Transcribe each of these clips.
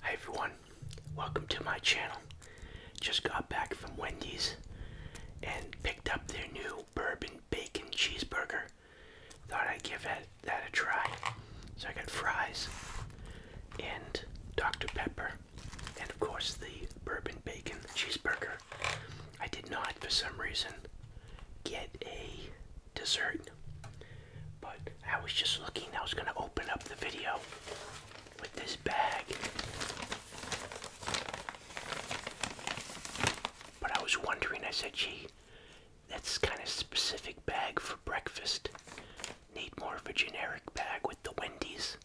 Hi everyone, welcome to my channel. Just got back from Wendy's and picked up their new bourbon bacon cheeseburger. Thought I'd give that a try. So I got fries and Dr. Pepper and of course the bourbon bacon cheeseburger. I did not for some reason get a dessert. But I was just looking, I was gonna open up the video with this bag. But I was wondering, I said, gee, that's kind of specific bag for breakfast. Need more of a generic bag with the Wendy's.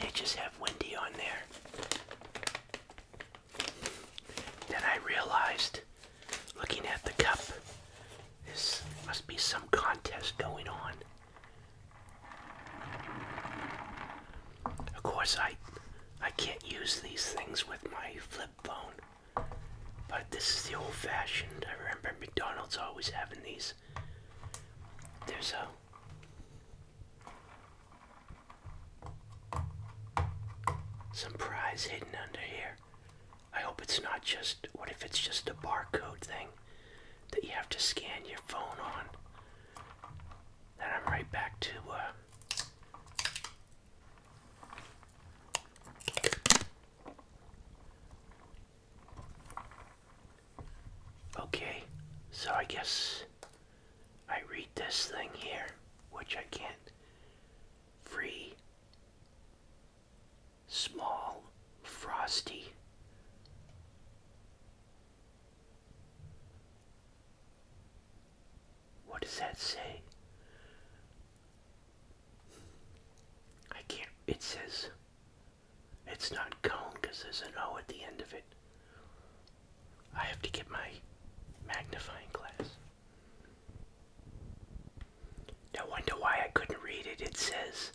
They just have Wendy on there. Then I realized Looking at the cup, this must be some contest going on. Of course, I I can't use these things with my flip phone, but this is the old-fashioned. I remember McDonald's always having these. There's a some prize hidden under here. I hope it's not just, what if it's just a barcode thing that you have to scan your phone on? Then I'm right back to, uh, Okay, so I guess I read this thing here, which I can't. Free small, frosty. What does that say? I can't, it says, it's not cone because there's an O at the end of it. I have to get my magnifying glass. No wonder why I couldn't read it. It says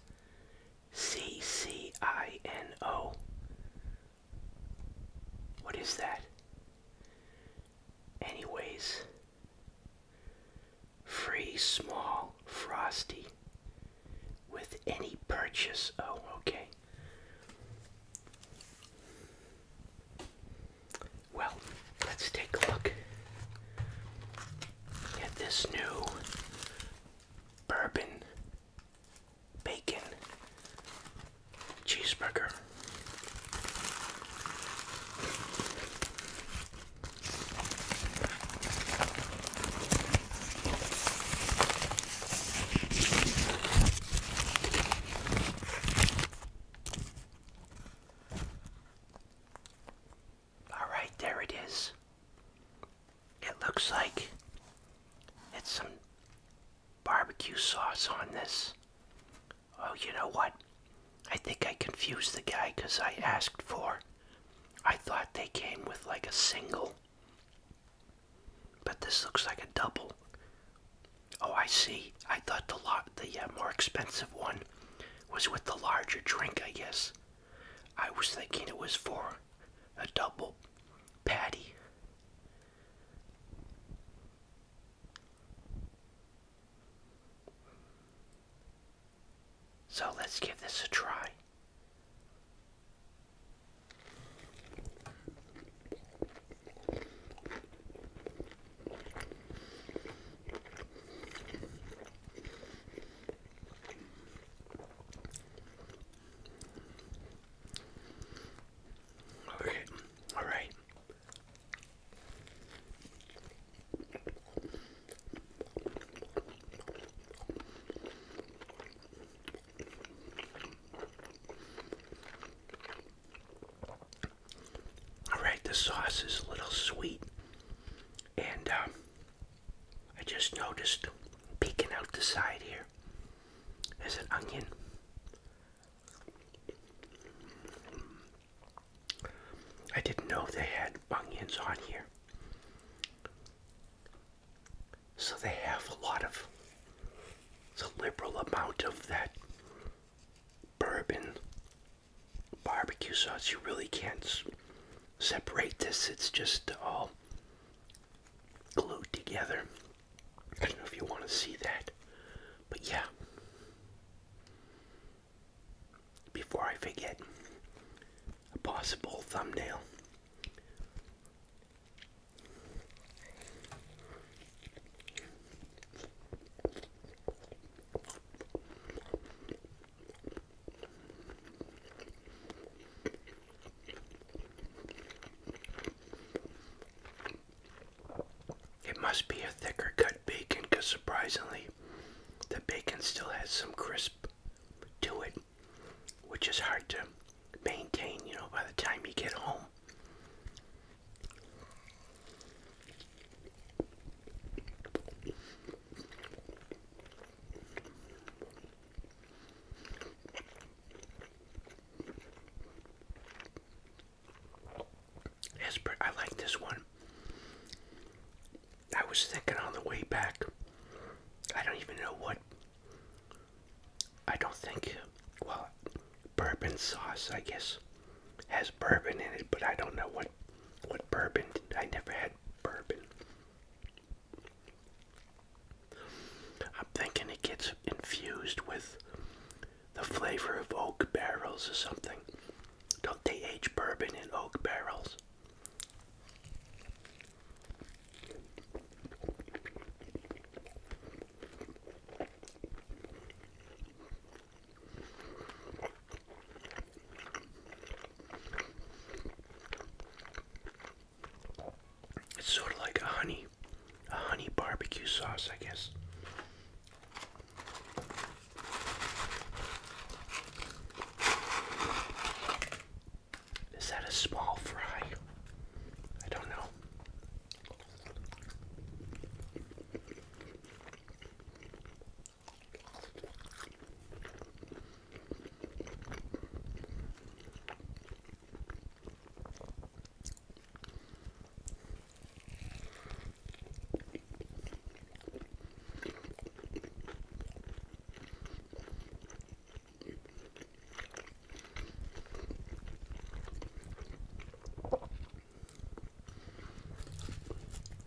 C C I N O. What is that? Anyways, free small frosty with any purchase. Oh, okay. Well, let's take a look at this new bourbon bacon cheeseburger. Alright, there it is. It looks like it's some barbecue sauce on this. Oh, you know what? I think I confused the guy because I asked for. I thought they came with like a single. But this looks like a double. Oh, I see. I thought the lot, the uh, more expensive one was with the larger drink, I guess. I was thinking it was for a double patty. So let's give this a try. Okay, all right. All right, the sauce is a little sweet. And um, I just noticed peeking out the side here is an onion. I didn't know they had onions on here. So they have a lot of, a liberal amount of that bourbon barbecue sauce. You really can't separate this. It's just all glued together. I don't know if you want to see that, but yeah. Before I forget a possible thumbnail. It must be a thicker cut bacon because surprisingly, the bacon still has some crisp to it, which is hard to maintain, you know, by the time you get home. It's I like this one. I was thinking on the way back. I don't even know what. I don't think. Well, bourbon sauce, I guess, has bourbon in it, but I don't know what what bourbon. I never had bourbon. I'm thinking it gets infused with the flavor of oak barrels or something. Don't they age bourbon in oak barrels? It's sort of like a honey, a honey barbecue sauce, I guess. Is that a small fry? I don't know.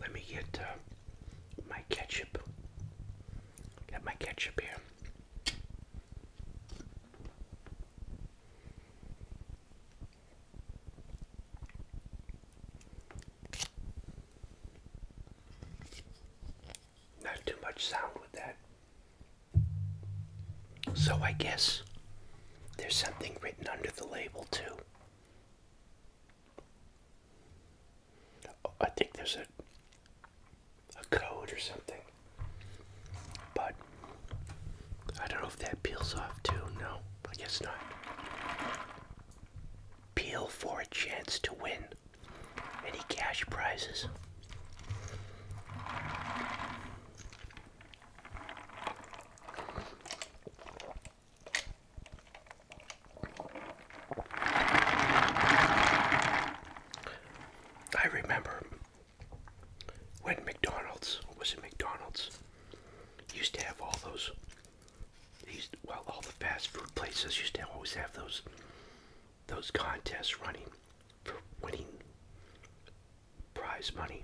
Let me get uh, my ketchup. Got my ketchup here. Not too much sound with that. So I guess there's something written under the label too. I think there's a, a code or something, but I don't know if that peels off too. No, I guess not. Peel for a chance to win any cash prizes. I remember when McDonald's was it McDonald's used to have all those these well all the fast food places used to always have those those contests running for winning prize money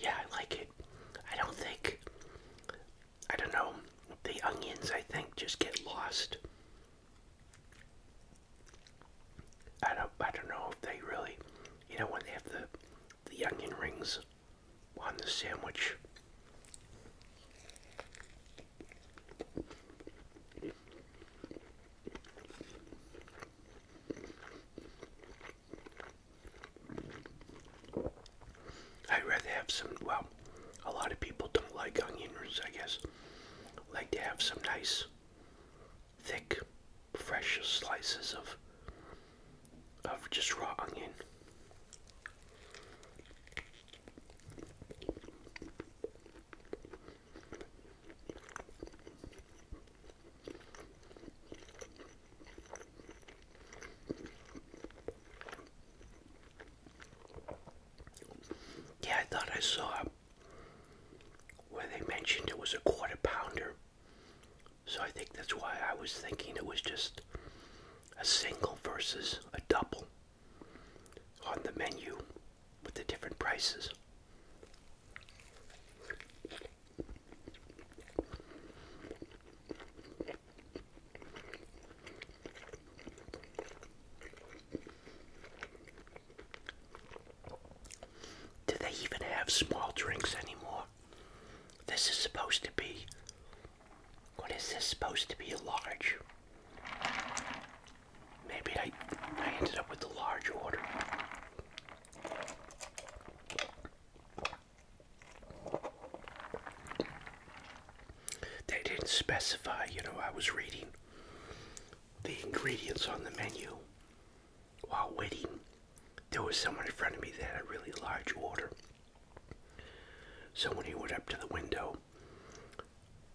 Yeah, I like it. I don't think, I don't know, the onions, I think, just get lost. I don't, I don't know if they really you know when they have the the onion rings on the sandwich. I'd rather have some, well, a lot of people don't like onion rings, I guess. Like to have some nice thick, fresh slices of of just raw onion. Yeah, I thought I saw where they mentioned it was a quarter pounder so I think that's why I was thinking it was just a single versus a double on the menu with the different prices. Do they even have small drinks anymore? This is supposed to be. What is this supposed to be? A large. Maybe I, I ended up with the large order. They didn't specify, you know, I was reading the ingredients on the menu while waiting, there was someone in front of me that had a really large order. So when he went up to the window,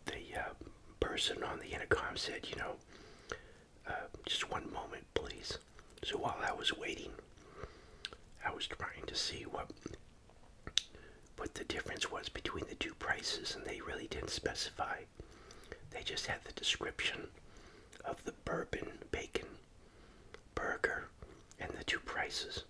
the uh, person on the intercom said, you know, uh, just one moment, please. So while I was waiting, I was trying to see what what the difference was between the two prices, and they really didn't specify. They just had the description of the bourbon bacon burger and the two prices.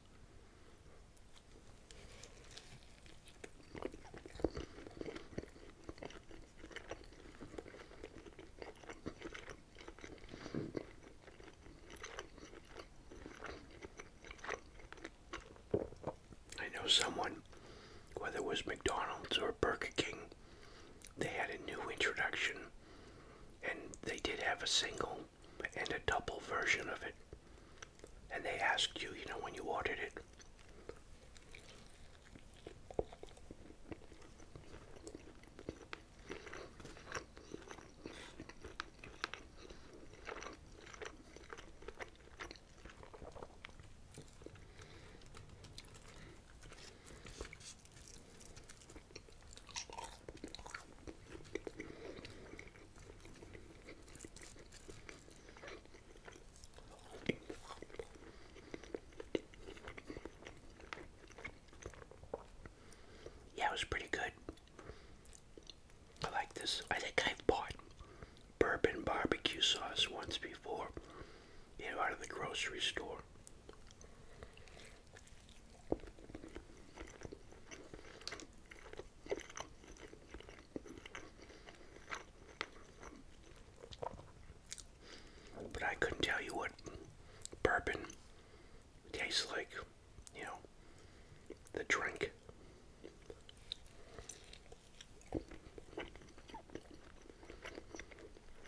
I know someone, whether it was McDonald's or Burger King they had a new introduction and they did have a single and a double version of it. And they asked you, you know, when you ordered it. Yeah, it was pretty good. I like this. I think I've bought bourbon barbecue sauce once before you know, out of the grocery store. But I couldn't tell you what bourbon tastes like, you know, the drink.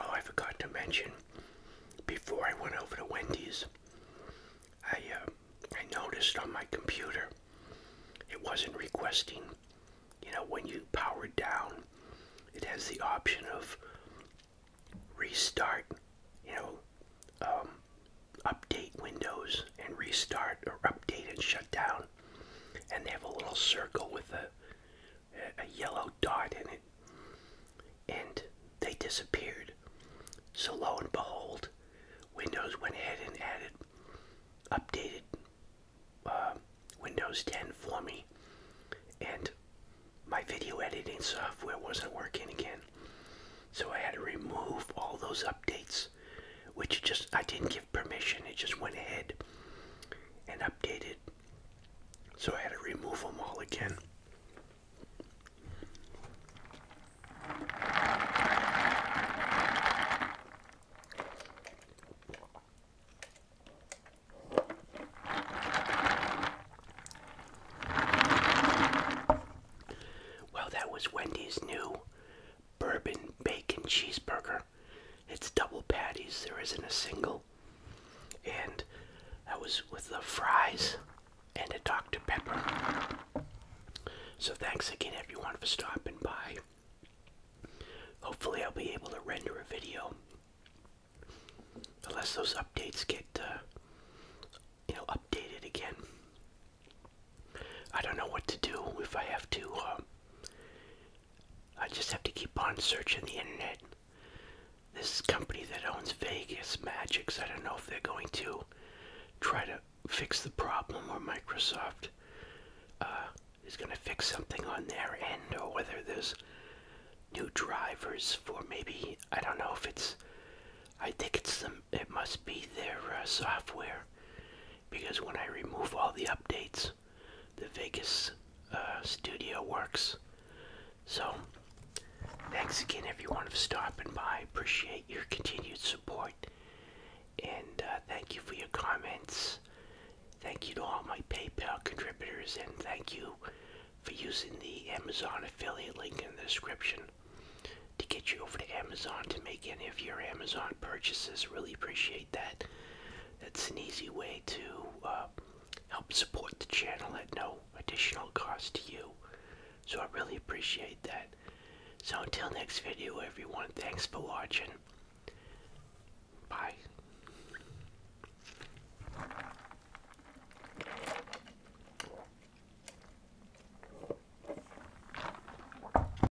Oh, I forgot to mention before I went over to Wendy's, I uh, I noticed on my computer it wasn't requesting. You know, when you power down, it has the option of restart. You know, um, update Windows and restart or update and shut down and they have a little circle with a yellow dot in it, and they disappeared. So lo and behold, Windows went ahead and added updated uh, Windows 10 for me, and my video editing software wasn't working again. So I had to remove all those updates, which just I didn't give permission, it just went ahead and updated. So I had to remove them all again. Well, that was Wendy's new bourbon bacon cheeseburger. It's double patties, there isn't a single. And that was with the fries and a Dr. Pepper. So thanks again everyone for stopping by. Hopefully I'll be able to render a video. Unless those updates get, uh, you know, updated again. I don't know what to do if I have to. Um, I just have to keep on searching the internet. This company that owns Vegas Magics, I don't know if they're going to try to fix the problem or Microsoft uh, is going to fix something on their end or whether there's new drivers for maybe, I don't know if it's, I think it's the, it must be their uh, software because when I remove all the updates, the Vegas uh, studio works. So, thanks again, everyone, for stopping by. Appreciate your continued support. And uh, thank you for your comments. Thank you to all my PayPal contributors, and thank you for using the Amazon affiliate link in the description to get you over to Amazon to make any of your Amazon purchases. Really appreciate that. That's an easy way to uh, help support the channel at no additional cost to you. So I really appreciate that. So until next video, everyone, thanks for watching. Bye.